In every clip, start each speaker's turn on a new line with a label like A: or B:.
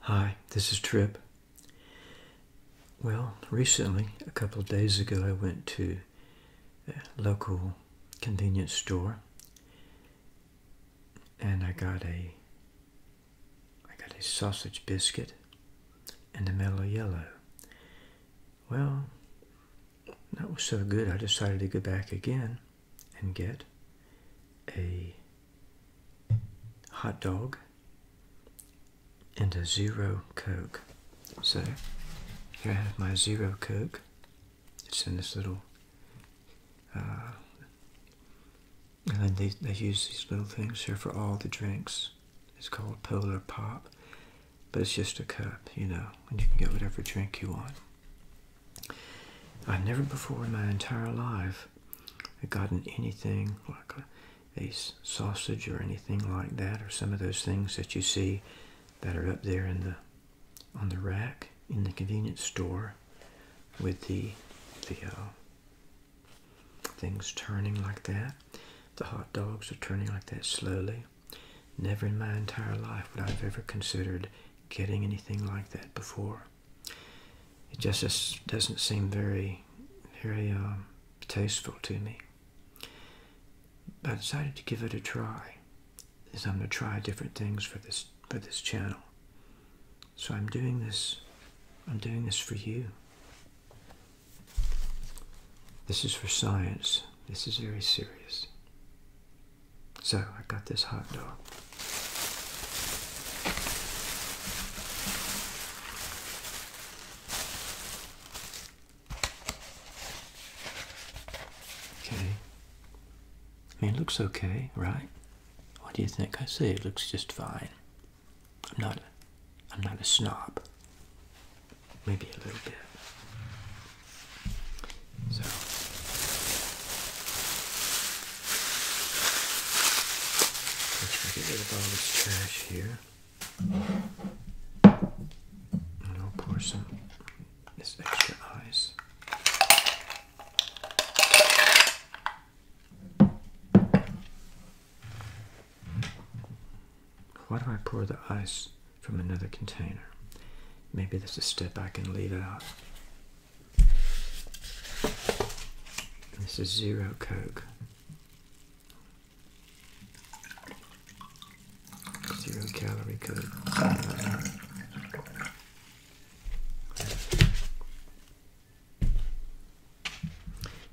A: Hi, this is Trip. Well, recently, a couple of days ago, I went to a local convenience store and I got a I got a sausage biscuit and a mellow yellow. Well, that was so good I decided to go back again and get a hot dog and a zero coke. So here I have my zero coke. It's in this little, uh, and they, they use these little things here for all the drinks. It's called Polar Pop, but it's just a cup, you know, and you can get whatever drink you want. I've never before in my entire life have gotten anything like a, sausage or anything like that, or some of those things that you see that are up there in the on the rack in the convenience store with the the uh, things turning like that. The hot dogs are turning like that slowly. Never in my entire life would I have ever considered getting anything like that before. It just, doesn't seem very, very uh, tasteful to me. I decided to give it a try. Is I'm going to try different things for this for this channel. So I'm doing this. I'm doing this for you. This is for science. This is very serious. So I got this hot dog. Okay. I mean, it looks okay, right? What do you think? I say it looks just fine. I'm not. I'm not a snob. Maybe a little bit. So Let's get rid of all this trash here. And I'll pour some this extra ice. Why do I pour the ice from another container? Maybe there's a step I can leave out. This is Zero Coke. Zero calorie Coke.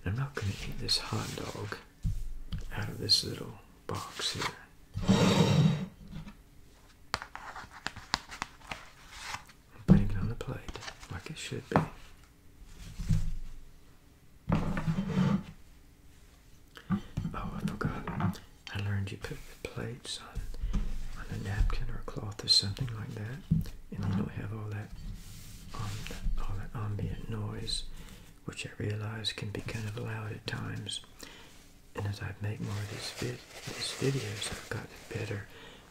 A: I'm not going to eat this hot dog out of this little box here. I'm putting it on the plate like it should be. Oh, I forgot. I learned you put the plates on on a napkin or a cloth or something like that, and you don't have all that um, all that ambient noise, which I realize can be kind of loud at times. And as I make more of these videos, I've gotten better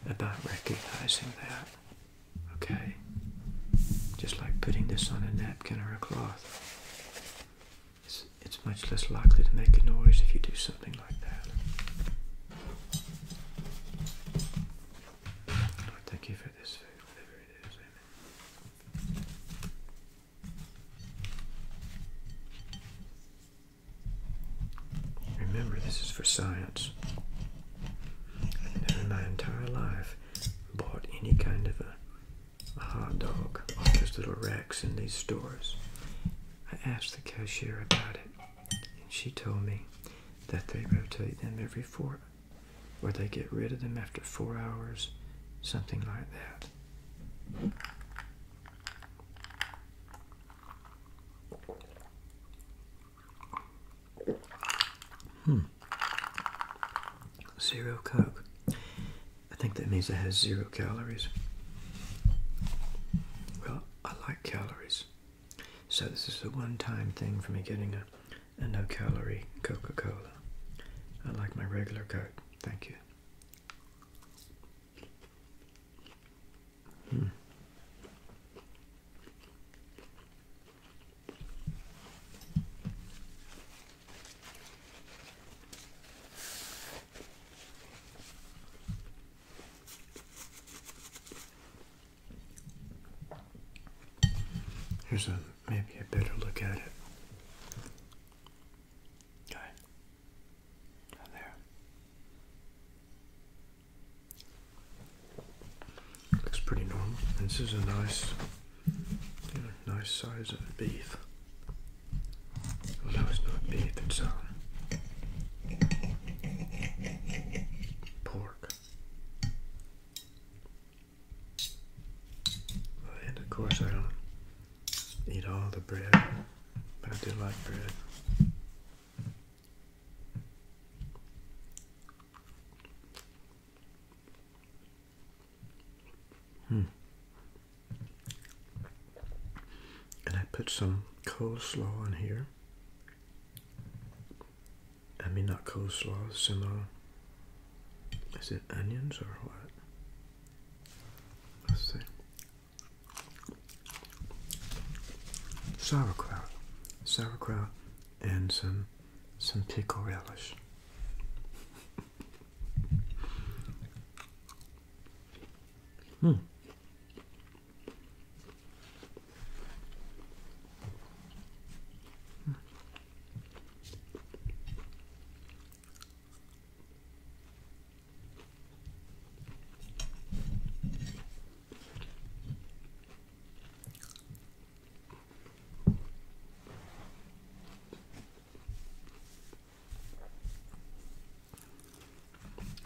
A: about recognizing that. Okay? Just like putting this on a napkin or a cloth. It's, it's much less likely to make a noise if you do something like that. Lord, thank you for this food, whatever it is. Amen. Remember, this is for science. I've never in my entire life bought any kind of a, a hot dog off those little racks in these stores. I asked the cashier about it, and she told me that they rotate them every four, or they get rid of them after four hours, something like that. Hmm. Zero Coke. I think that means it has zero calories. Well, I like calories. So this is the one-time thing for me getting a, a no-calorie Coca-Cola. I like my regular Coke. Thank you. Hmm. Here's a maybe a better look at it. Okay. Looks pretty normal. this is a nice, nice size of beef. no, it's not beef. It's um, pork. And of course, I don't eat all the bread, but I do like bread. Hmm. And I put some coleslaw on here. I mean, not coleslaw, similar. Uh, is it onions or what? Let's see sauerkraut, sauerkraut, and some some pickle relish. Hmm.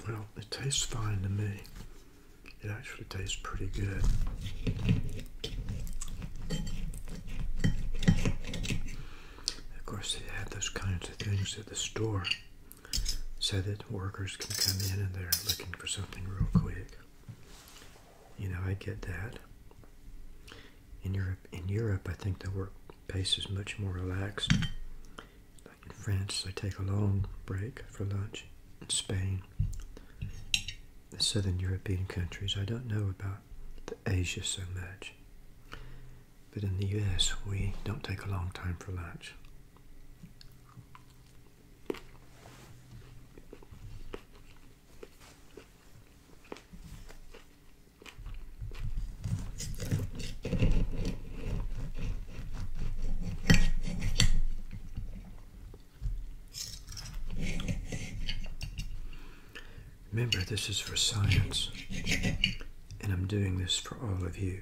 A: Well, it tastes fine to me. It actually tastes pretty good. Of course, they had those kinds of things at the store so that workers can come in and they're looking for something real quick. You know, I get that. In Europe, in Europe, I think the work pace is much more relaxed. Like in France, they take a long break for lunch. In Spain, the southern European countries, I don't know about the Asia so much. But in the US, we don't take a long time for lunch. Remember, this is for science, and I'm doing this for all of you.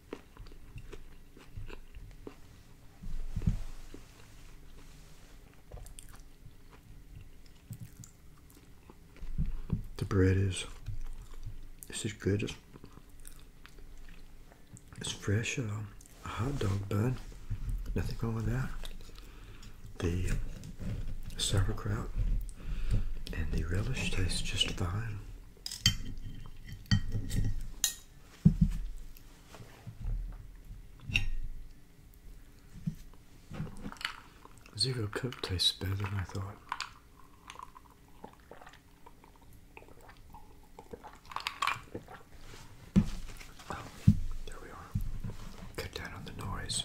A: The bread is this is good. It's, fresh. Uh, a hot dog bun. Nothing wrong with that. The sauerkraut and the relish taste just fine. Zero Coke tastes better than I thought. Oh, there we are. Cut down on the noise.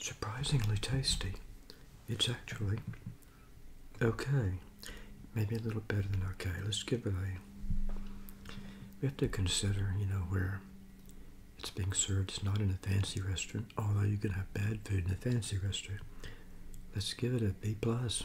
A: Surprisingly tasty. It's actually okay. Maybe a little better than okay. Let's give it a. We have to consider, you know, where it's being served. It's not in a fancy restaurant, although you can have bad food in a fancy restaurant. Let's give it a B plus.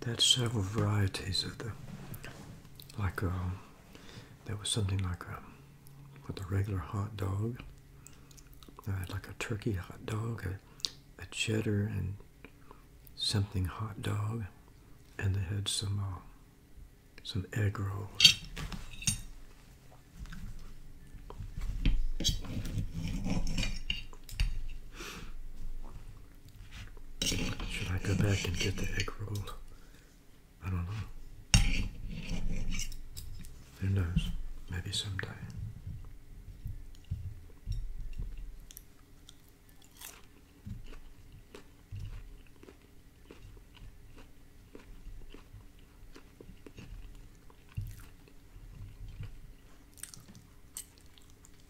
A: There's several varieties of the, like a, uh, there was something like a, with a regular hot dog, I uh, had like a turkey hot dog, a, cheddar and something hot dog, and they had some, uh, some egg rolls. Should I go back and get the egg roll? I don't know. Who knows? Maybe someday.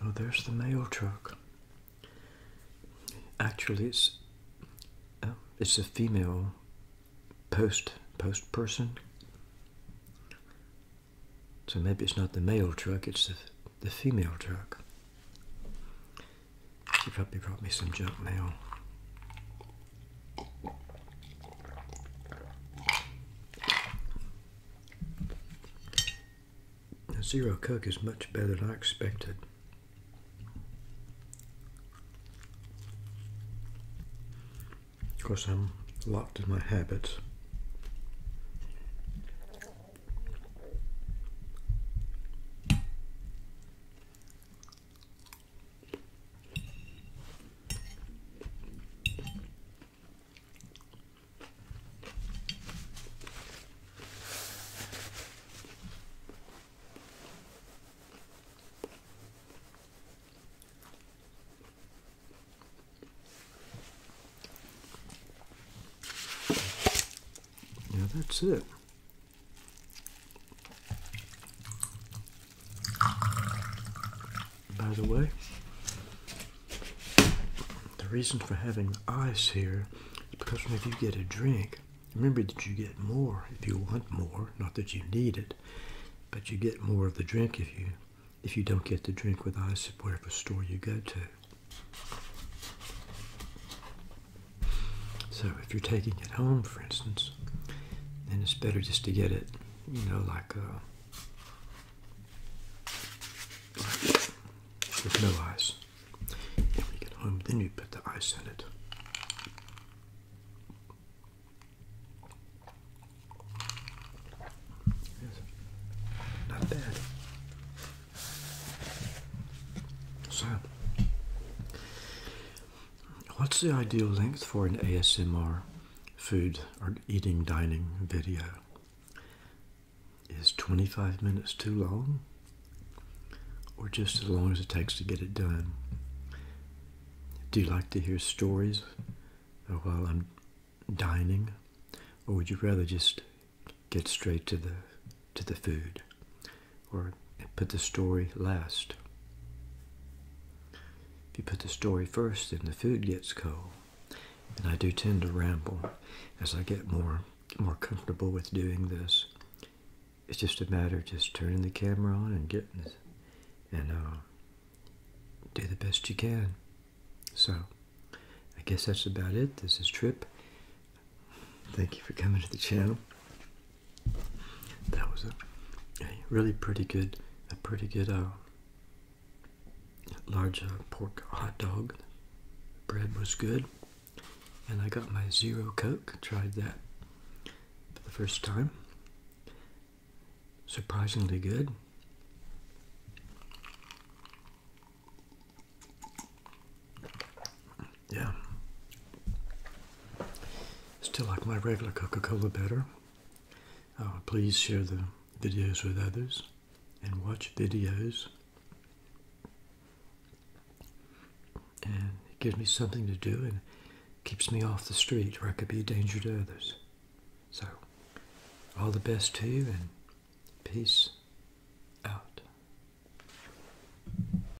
A: Oh, there's the mail truck. Actually, it's oh, it's a female post post person. So maybe it's not the mail truck; it's the the female truck. She probably brought me some junk mail. The zero cook is much better than I expected. Of course, I'm locked in my habits. Yeah, that's it. By the way, the reason for having ice here is because whenever you get a drink, remember that you get more if you want more, not that you need it, but you get more of the drink if you if you don't get the drink with ice at whatever store you go to. So if you're taking it home, for instance, then it's better just to get it, you know, like, uh, with no ice. And when get home, then we put the ice in it. Not bad. So, What's the ideal length for an ASMR food or eating dining video? Is 25 minutes too long? Or just as long as it takes to get it done? Do you like to hear stories while I'm dining? Or would you rather just get straight to the to the food or put the story last. If you put the story first, then the food gets cold. And I do tend to ramble as I get more more comfortable with doing this. It's just a matter of just turning the camera on and getting it and uh, do the best you can. So I guess that's about it. This is Trip. Thank you for coming to the channel. That was a, really pretty good, a pretty good uh, large uh, pork hot dog. Bread was good, and I got my zero coke. Tried that for the first time. Surprisingly good. Yeah. Still like my regular Coca Cola better. Uh, please share the videos with others and watch videos. And it gives me something to do and keeps me off the street where I could be a danger to others. So, all the best to you and peace out.